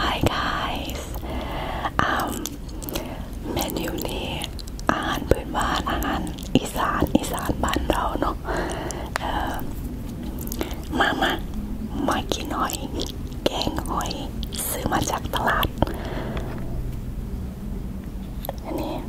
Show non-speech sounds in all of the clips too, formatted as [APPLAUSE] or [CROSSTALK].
Hi guys um, เมนูนี้อาหารพื้นบ้านอาหารอีสานอีสานบ้านเราเนาะ uh, มามามากินหอยแกงหอยซื้อมาจากตลาดอันนี้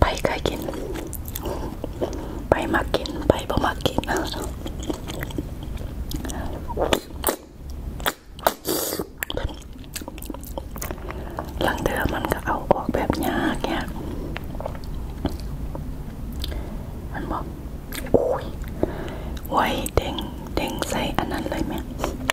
ไปเคยกิน ไปมากินไปบ่มากินหลังเดือมันก็เอาออกแบบยากแกมันบอกโอ้ยไว้เด้งเด้งใส่อันนั้นเลยแม่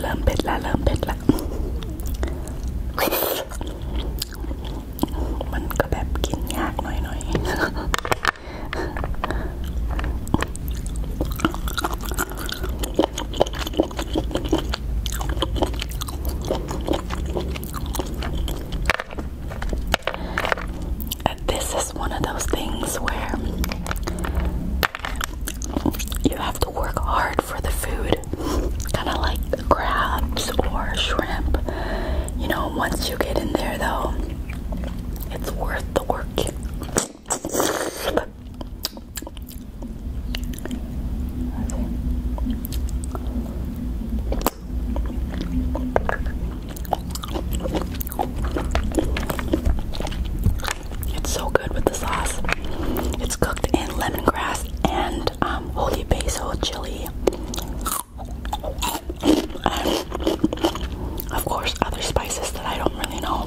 เริ่มเผ็ดละเริ่มเผ็ดละ มันก็แบบกินยากหน่อยๆ This just one of those things where you have to work hard for the food, kind of like the crabs or shrimp. You know, once you get in there, though, it's worth the work. It's so good with the sauce. It's cooked in lemongrass and um, holy basil chili. And of course, other spices that I don't really know.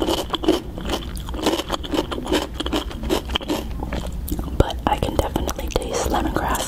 But I can definitely taste lemongrass.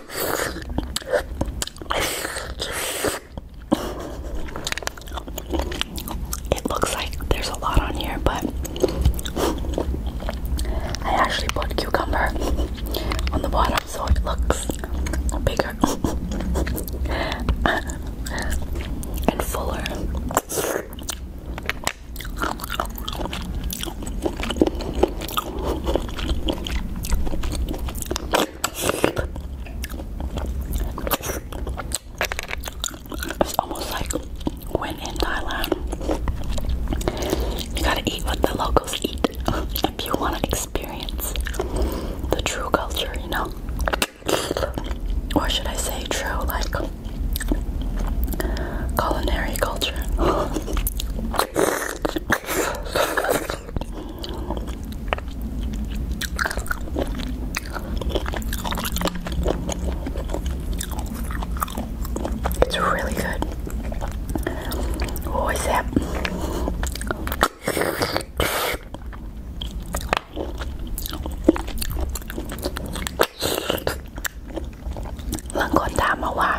It looks like there's a lot on here, but I actually put cucumber on the bottom so it looks bigger [LAUGHS] and fuller. It's almost like when in Thailand, you gotta eat what the locals eat [LAUGHS] if you wanna experience the true culture, you know? Or should I say true, like culinary culture? [LAUGHS] It's really good. What was that? หลังคนถามมาว่า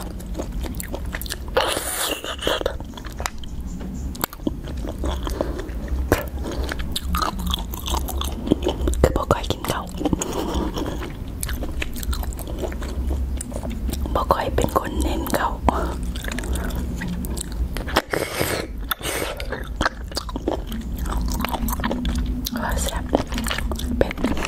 คือบอกอยกินเขาบอกอยเป็นคนเน้นเขาแซ่บเป็ด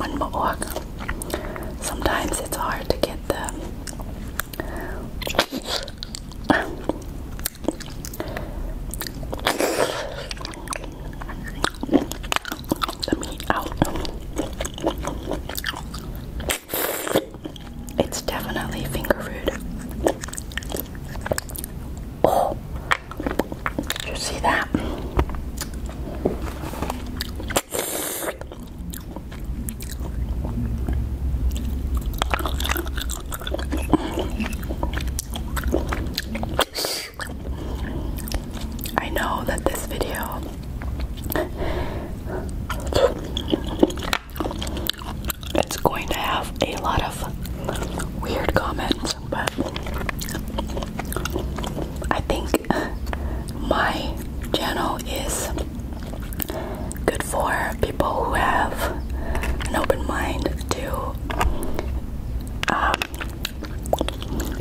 มันบออก sometimes it's hard to get the meat out. It's definitely finger food. Oh, did you see that? I know that this video it's going to have a lot of weird comments, but I think my channel is good for people who have an open mind to um,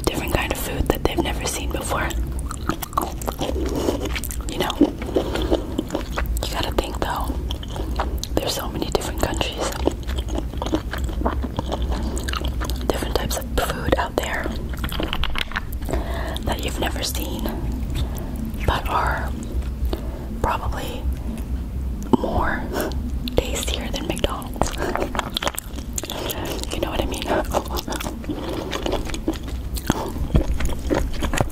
different kind of food that they've never seen before. You know, you gotta think though. There's so many different countries, different types of food out there that you've never seen, but are probably more [LAUGHS] tastier than McDonald's. [LAUGHS] you know what I mean? [LAUGHS]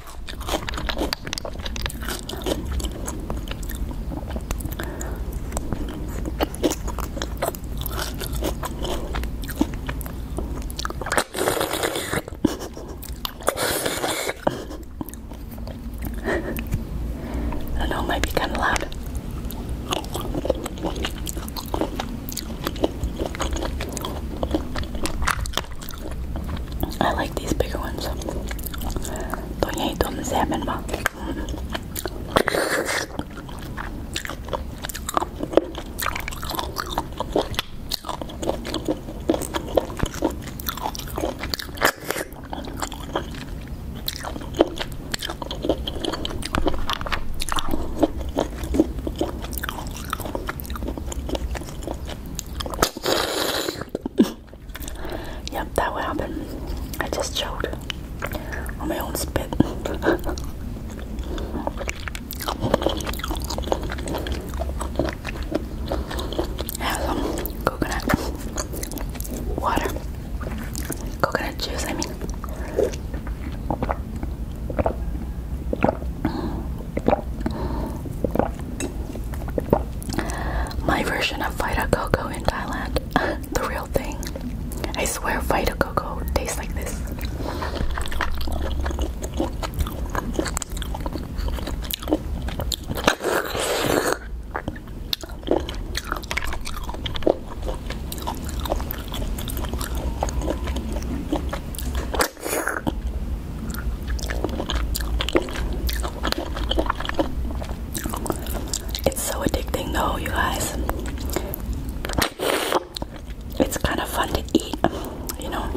I don't know, it might be kind of loud. I like these bigger ones. Don't you hate them, salmon, ma? [COUGHS] yep, that will happen. I just choked on my own spit. [LAUGHS] Have some coconut water, coconut juice. I mean. My version of Vita Coco in Thailand. [LAUGHS] the real thing. I swear Vita Coco tastes like this. It's so addicting though, you guys. It's kind of fun to eat, you know.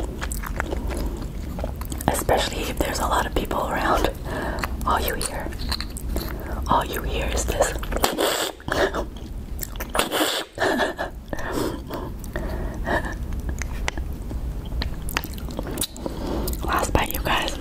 Especially if there's a lot of people around. All you hear. All you hear is this. [LAUGHS] [LAUGHS] Last bite, you guys.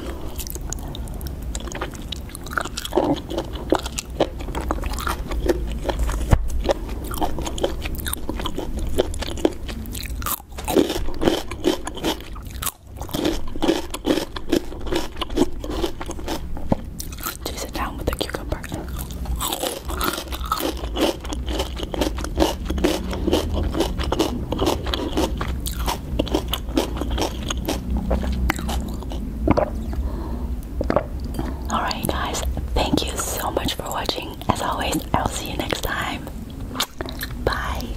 Do sit down with the cucumber? Alright, guys, thank you so much for watching. As always, I'll see you next time. Bye.